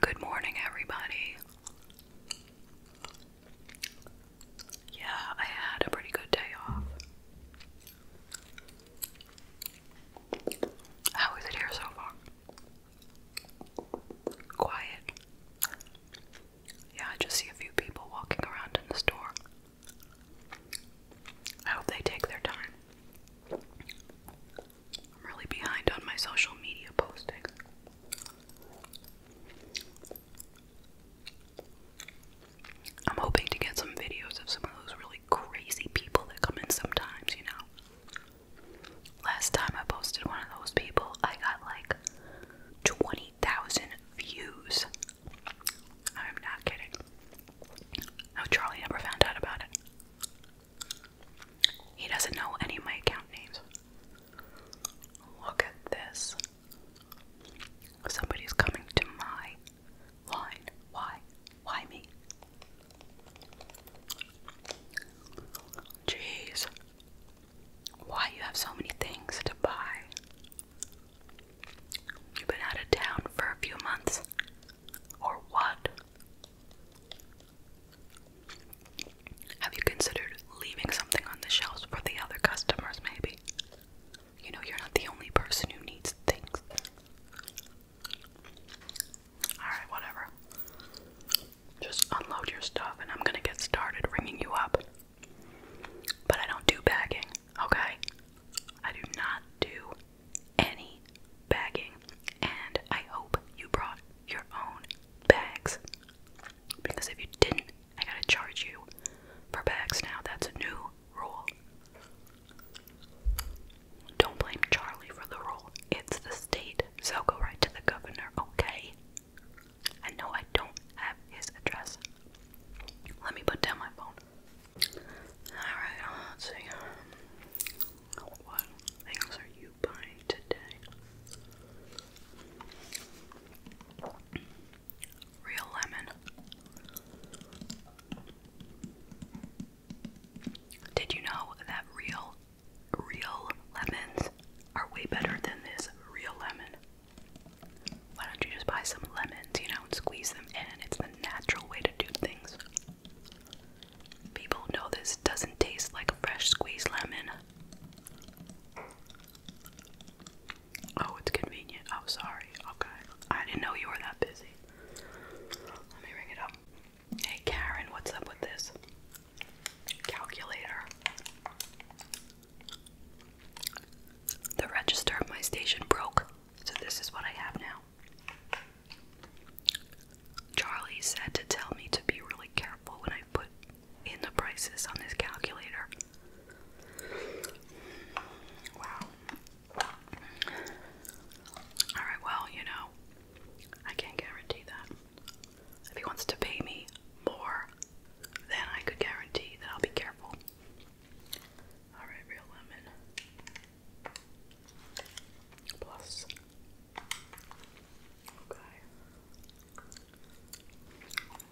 Good morning, everybody. Yeah, I had a pretty good day off. How is it here so far? Quiet. Yeah, I just see a few people walking around in the store. I hope they take their time. I'm really behind on my social media posting. I'm hoping to get some videos of some of those really crazy people that come in sometimes, you know. Last time I posted one of those people, I got like 20,000 views. I'm not kidding. No, oh, Charlie never found out about it. He doesn't know any of my account names. Look at this. Somebody's coming to my line. Why? Why me? Jeez. Why you have so many things to buy? You've been out of town for a few months or what? Have you considered leaving something on the shelves for the other customers, maybe? You know, you're not the only person who needs things. Alright, whatever. Just unload your stuff and I'm gonna get started ringing you up. But I don't do bagging, okay? I do not do any bagging, and I hope you brought your own bags because if you didn't, I gotta charge you for bags now. That's a new rule. Don't blame Charlie for the rule, it's the state, so go right to the governor, okay? I know I don't have his address. Let me put down my phone. Alright, let's see. Um, what things are you buying today? Real lemon. Did you know that real, real lemons are way better than this real lemon? why don't you just buy some lemons, you know, and squeeze them in? It's the natural way to do things. People know this doesn't taste like a fresh squeezed lemon. Oh, it's convenient. i Oh, sorry. Okay. I didn't know you were that busy. Let me ring it up. Hey, Karen, what's up with this? Calculator. The register of my station broke. So this is what I have now. Charlie said to tell me to be really careful when I put in the prices on this calculator. Wow. Alright, well, you know, I can't guarantee that. If he wants to pay me more, then I could guarantee that I'll be careful. Alright, real lemon. Plus. Okay.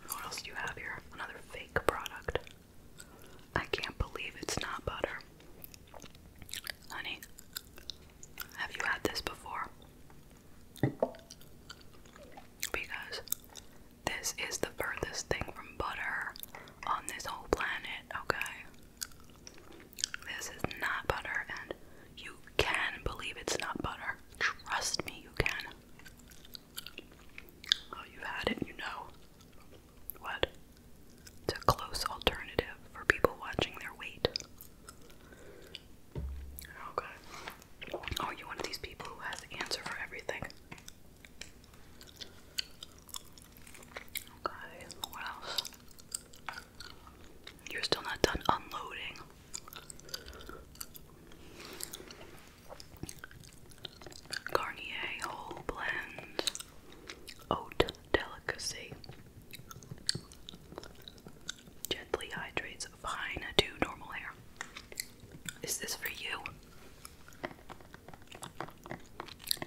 What else do you have here? Another fake product. I can't believe it's not butter. Honey, have you had this before? Because this is the furthest thing from butter on this whole planet, okay? This is not butter, and you can believe it's not butter. Trust me, you can. Oh, you've had it, you know. What? It's a close alternative for people watching their weight. Okay. Oh, you one of these people who has the answer for everything what else? You're still not done unloading. Garnier Whole Blend Oat Delicacy Gently hydrates fine to normal hair. Is this for you?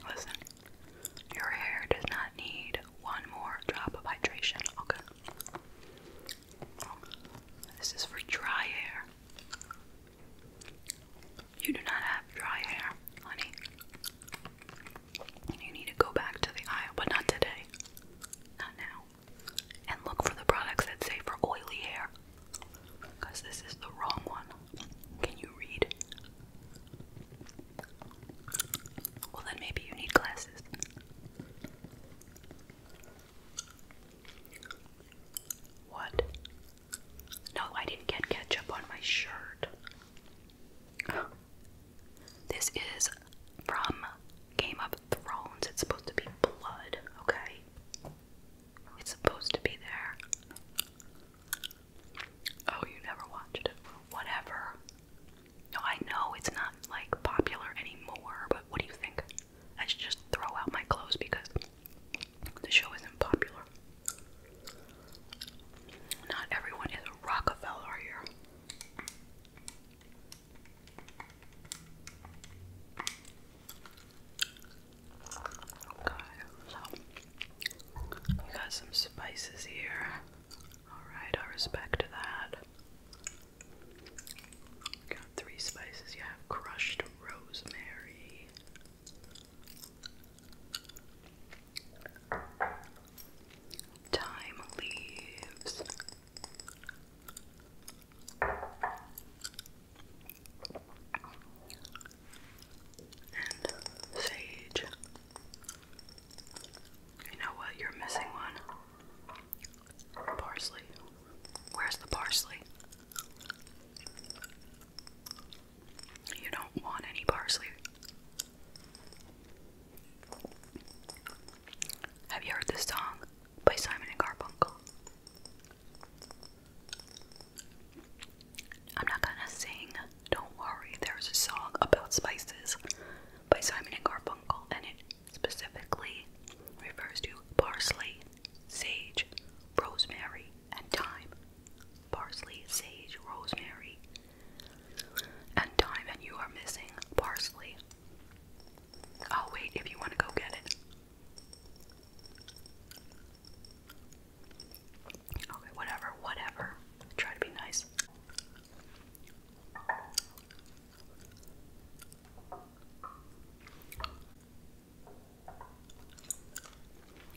Listen, your hair does not need one more drop of hydration, okay? This is for dry hair. You do not have dry hair, honey. You need to go back to the aisle, but not today. Not now. And look for the products that say for oily hair. Because this is the wrong one. Can you read? Well, then maybe you need glasses. What? No, I didn't get ketchup on my shirt. This is from Game of Thrones. It's supposed to be blood, okay? It's supposed to be there. Oh, you never watched Whatever. No, I know it's not like popular anymore, but what do you think? I should just throw out my clothes because the show isn't popular. Not everyone is Rockefeller here we got some spices here. Alright, I respect that. got three spices. You have crushed rosemary. Thyme leaves, and sage. You know what? You're missing one. Parsley. Where's the parsley? You don't want any parsley. Have you heard this song by Simon and Garfunkel? I'm not gonna sing, don't worry, there's a song about spices by Simon and Garfunkel, and it specifically refers to parsley, sage, rosemary, and thyme. Parsley, sage, rosemary, and thyme, and you are missing parsley. I'll oh, wait, if you want to go get it, Okay, whatever, whatever. Try to be nice.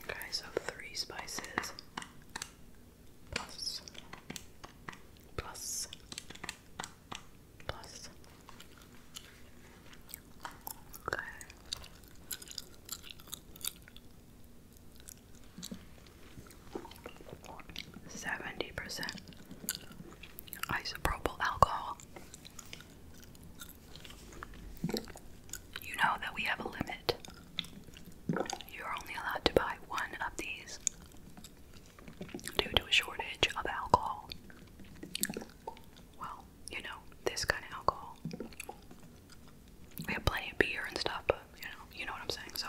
Okay, so three spices plus plus plus Seventy percent isopropyl alcohol. You know that we have a limit. You're only allowed to buy one of these due to a shortage of alcohol. Well, you know, this kind of alcohol. We have plenty of beer and stuff, but you know, you know what I'm saying. So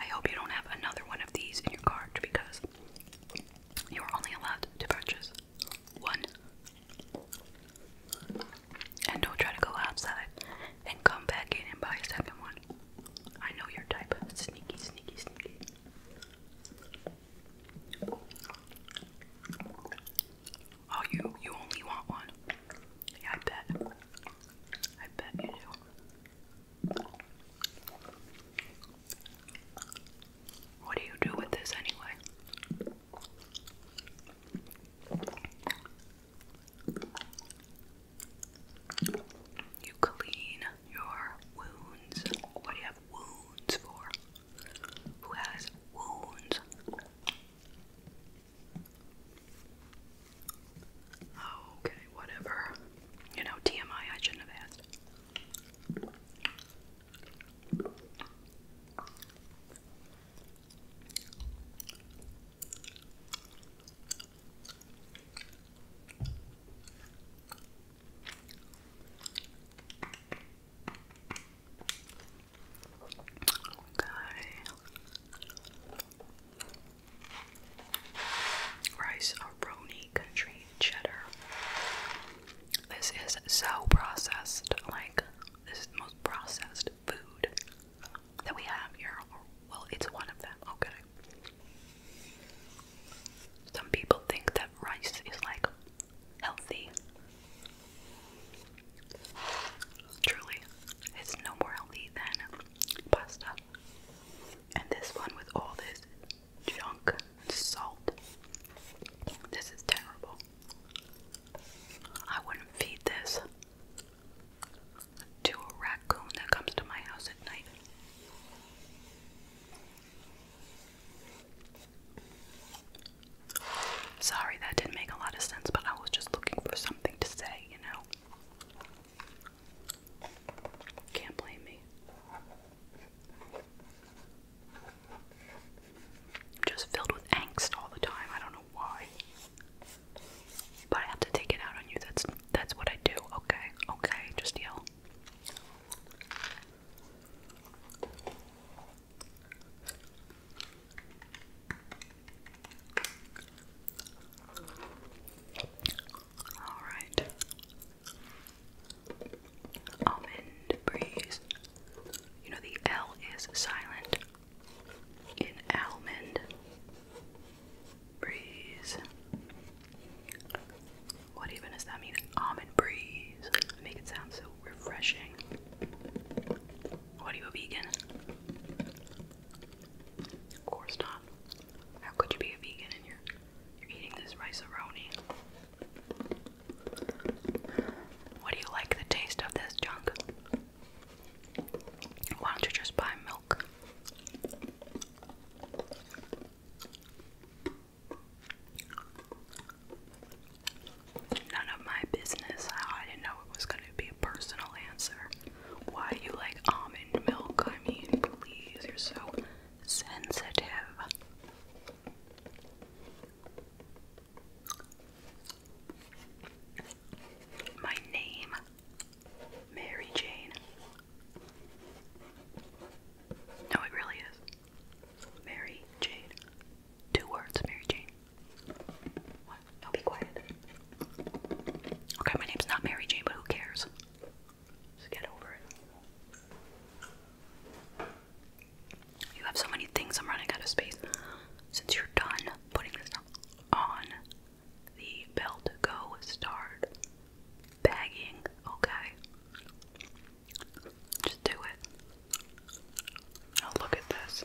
I hope you don't have another one of these in your cart because you are only allowed to purchase one. And don't try to go outside and come back in and buy a second one. I know your type. Sneaky, sneaky, sneaky. Oh, you you only want one. I bet. I bet you do. What do you do with this anyway? You clean your wounds. What do you have wounds for? who has wounds. okay, whatever. You know, TMI, I shouldn't have asked. Rice Aroni country cheddar. This is so processed, like this is the most processed food that we have here. Well, it's one of them. Okay. Some people think that rice is like healthy. Truly, it's no more healthy than pasta. And this one with all this junk salt. This is terrible. I wouldn't feed this to a raccoon that comes to my house at night. Sorry, that didn't make a lot of sense, but I was just looking for something to say, you know? Can't blame me. just filled with angst all the time. I don't know why. But I have to take it out on you. That's that's what I do. Okay. Okay. Just yell. All right. Almond breeze. You know the L is silent in almond breeze. What even does that mean? Almond breeze. Make it sound so refreshing. What are you, a vegan? Of course not. How could you be a vegan and you're, eating this rice a What do you like the taste of this junk? Why don't you just buy milk? None of my business. I didn't know it was going to be a personal answer. Why you like almond milk? I mean, please, you're so sensitive. My name, Mary Jane. No, it really is. Mary Jane. Two words, Mary Jane. What? No, be quiet. Okay, my name's not Mary Jane, but who cares? Just get over it. You have so many things I'm running out of space. Since you're done putting this on the bell go start, begging, okay? Just do it. Oh, look at this.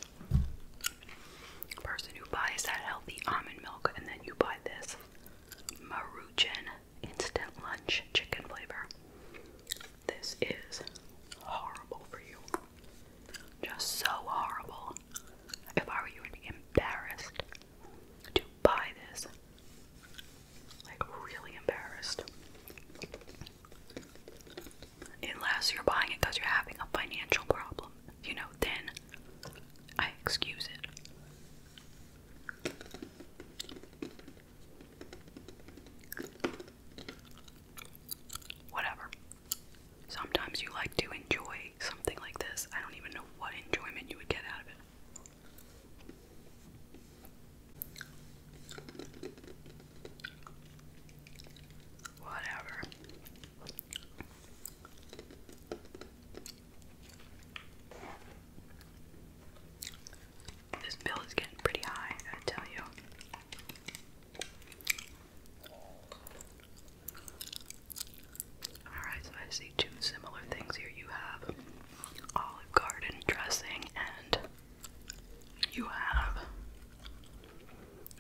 Person who buys that healthy almond milk, and then you buy this Maruchan instant lunch chicken flavor. This is horrible for you. Just so horrible. If I were you, would be embarrassed to buy this like, really embarrassed. Unless you're buying it because you're having a financial problem, you know, then I excuse it. Whatever. Sometimes you like to enjoy something like this. I don't even know what enjoyment you would get out of it. Whatever. This bill is getting pretty high, I got tell you. Alright, so I see two similar things here. You have Olive Garden dressing, and you have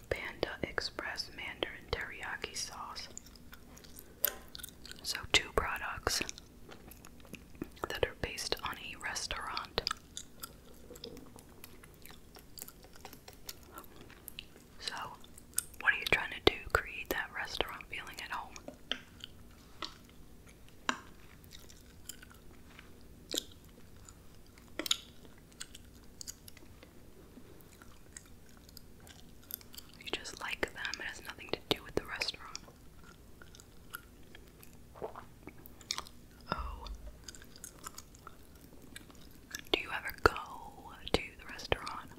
Panda Express Mandarin Teriyaki Sauce. So, two products that are based on a restaurant. So, what are you trying to do? Create that restaurant feeling at home. You just like them, it has nothing to do with the restaurant. Oh. Do you ever go to the restaurant?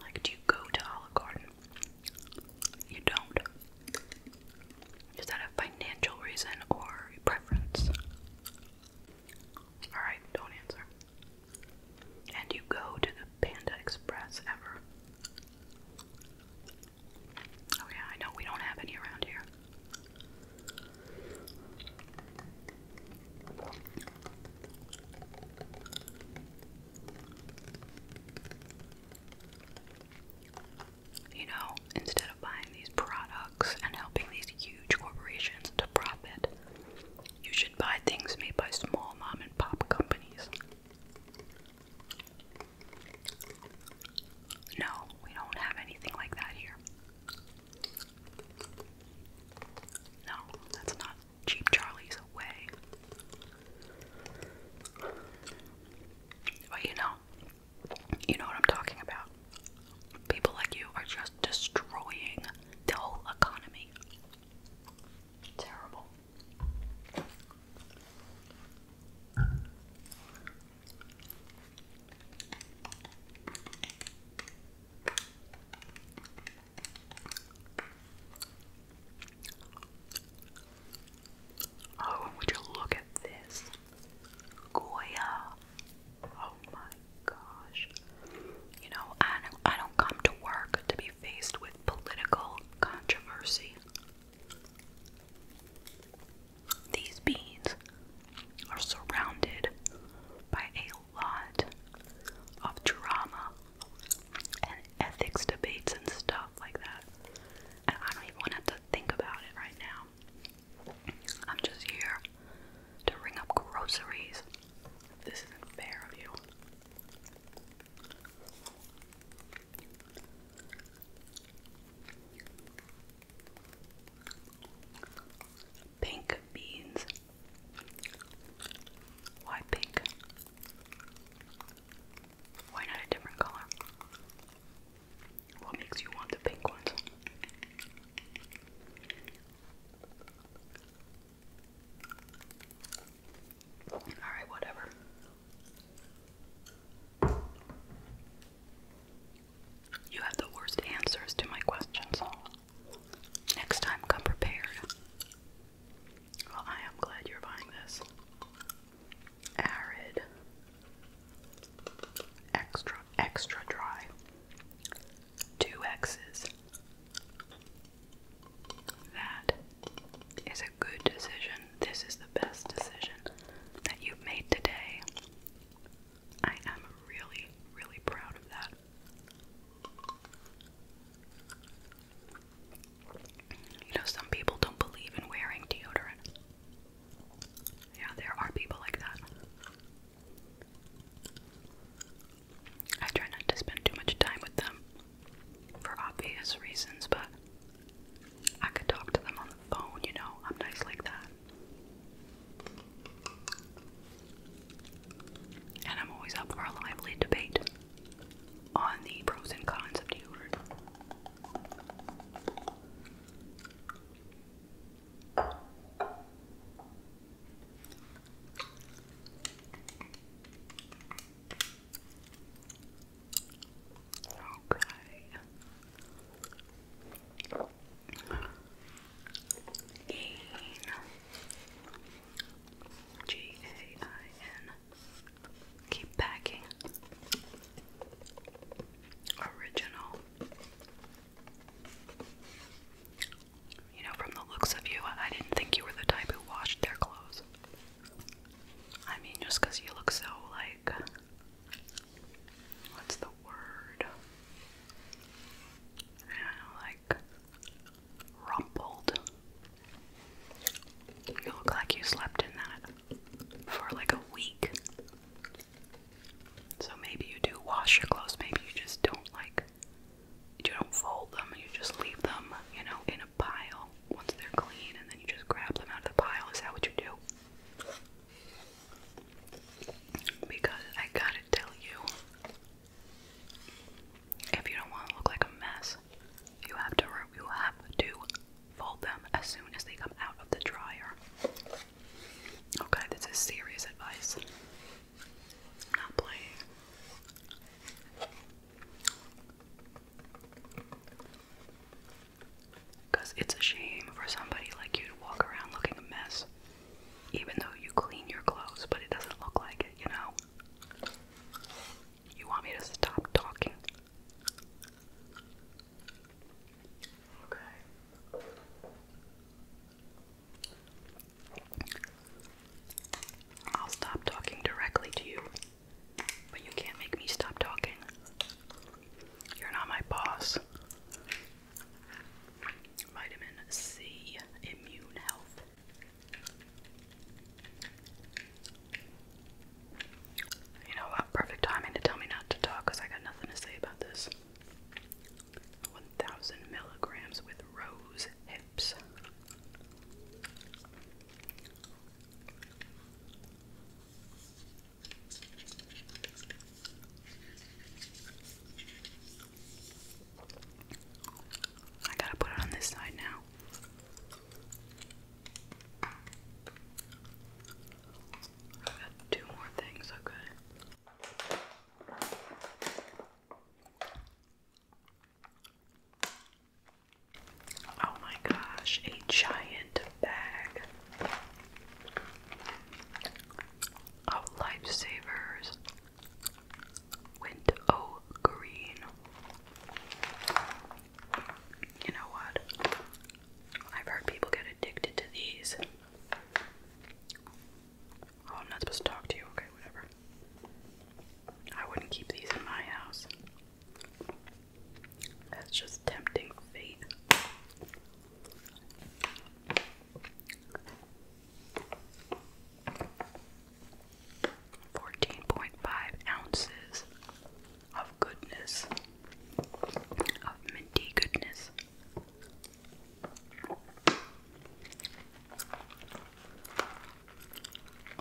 Like, do you go to Olive Garden you don't. Is that a financial reason or preference? Alright, don't answer. And you go to the Panda Express ever? Oh, yeah, I know we don't have any around here. You know, instead of buying these products and helping these huge corporations to profit, you should buy things made by small mom and pop companies. No, we don't have anything like that here. No, that's not Cheap Charlie's away. But you know, you know what I'm talking about. People like you are just destroying the whole economy. Terrible. Oh, would you look at this? Goya. Oh my gosh. You know, I I don't come to work to be faced with political controversy. These beans are surrounded by a lot of drama and ethics debates and stuff like that. And I don't even want to have to think about it right now. I'm just here to ring up groceries. This isn't fair of you. Pink beans. Why pink? Why not a different color? What makes you want the pink ones? Alright, whatever. You have the worst answers to my questions. Next time, come prepared. Well, I am glad you're buying this. Arid. Extra, extra dry. Two X's. That is a good decision. This is the best decision that you've made today. I am really, really proud of that. You know, some people don't believe in wearing deodorant. Yeah, there are people like that. I try not to spend too much time with them for obvious reasons, but I could talk to them on the phone, you know, I'm nice like that. And I'm always up for a lively debate on the pros and cons of deodorant. Okay. Gain. G A I N. Keep packing. Original. You know, from the looks of you, I didn't think you were the type who washed their clothes. I mean, just you look so like. What's the word? like rumpled. You look like you slept in that for like a week. So maybe you do wash your clothes, maybe you just don't like you don't fold them, you just leave them, you know, in a pile once they're clean and then you just grab them out of the pile. Is that what you do? Because I gotta tell you, if you don't want to look like a mess, you have to you have to fold them as soon as they come out of the dryer. Okay, this is serious advice. I'm not playing. Because it's a shame for somebody like you to walk around looking a mess, even though you clean your clothes, but it doesn't look like it, you know? You want me to stop talking? Okay. I'll stop talking directly to you, but you can't make me stop talking. You're not my boss. Vitamin C Immune Health. You know what? Perfect timing to tell me not to talk because I got nothing to say about this. 1000 milligrams with rose hips. I gotta put it on this side now. I've got two more things, okay. Oh my gosh, a giant bag of lifesavers went oh, green. You know what? I've heard people get addicted to these. Oh, I'm not supposed to talk to you. Okay, whatever. I wouldn't keep these in my house. That's just tempting fate. 14.5 ounces of goodness, of minty goodness.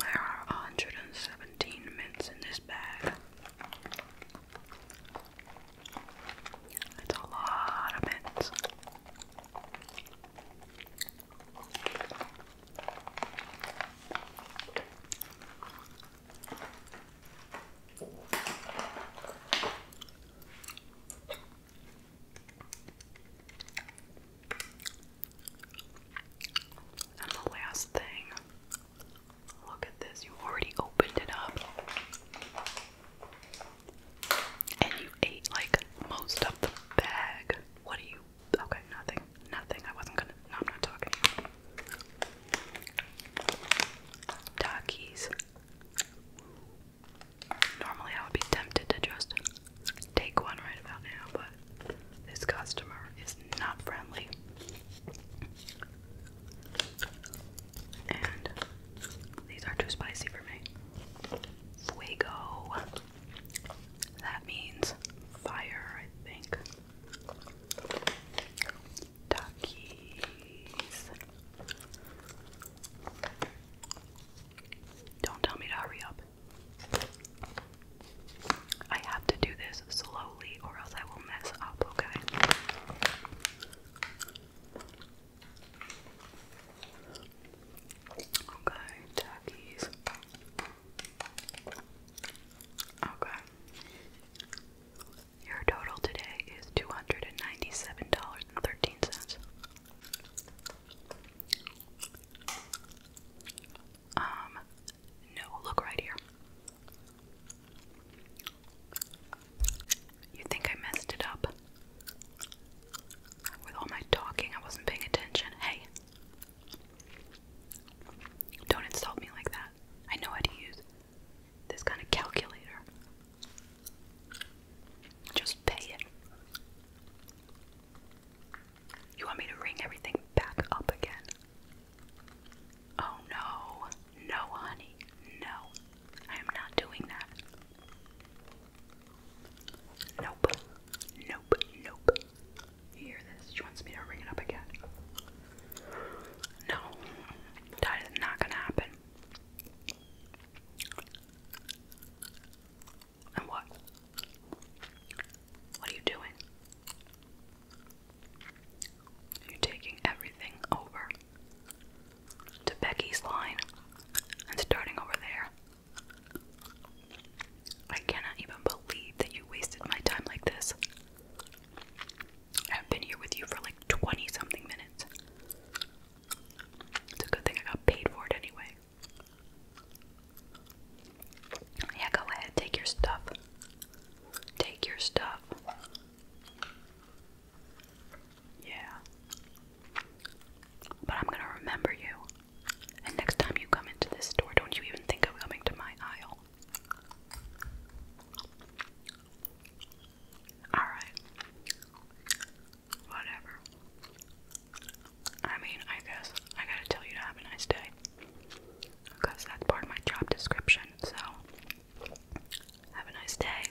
There are 117 mints in this bag. That's a lot of mints. And the last thing look at this, you already opened it up. And you ate like most of the bag. What are you? Okay, nothing. Nothing. I wasn't gonna. No, I'm not talking. Takis. Normally, I would be tempted to just take one right about now, but this customer is not friendly. And these are too spicy for me. Fuego. That means fire, I think. Don't tell me to hurry up. I have to do this slowly or else I will mess up, okay? Okay, turkeys. Okay. Your total today is two hundred and ninety-seven dollars and thirteen cents. Um, no, look right here. You think I messed it up? With all my talking, I wasn't paying attention. Hey, don't insult me like that. I know how to use this kind of calculator. Just pay it. You want me to ring everything back up again? Oh no, no, honey, no. I am not doing that. Nope. Nope. Nope. You hear this? She wants me to ring it up again. No. That is not gonna happen. And what? What are you doing? You're taking everything over to Becky's line and starting over there. I cannot even believe that you wasted my time like this. I've been here with you for like 20 something minutes. It's a good thing I got paid for it anyway. Yeah, go ahead, take your stuff. Take your stuff. Yeah. But I'm gonna remember you. And next time you come into this store, don't you even think of coming to my aisle. Alright. Whatever. I mean, I guess I gotta tell you to have a nice day. Because that's part of my job description, so. Have a nice day.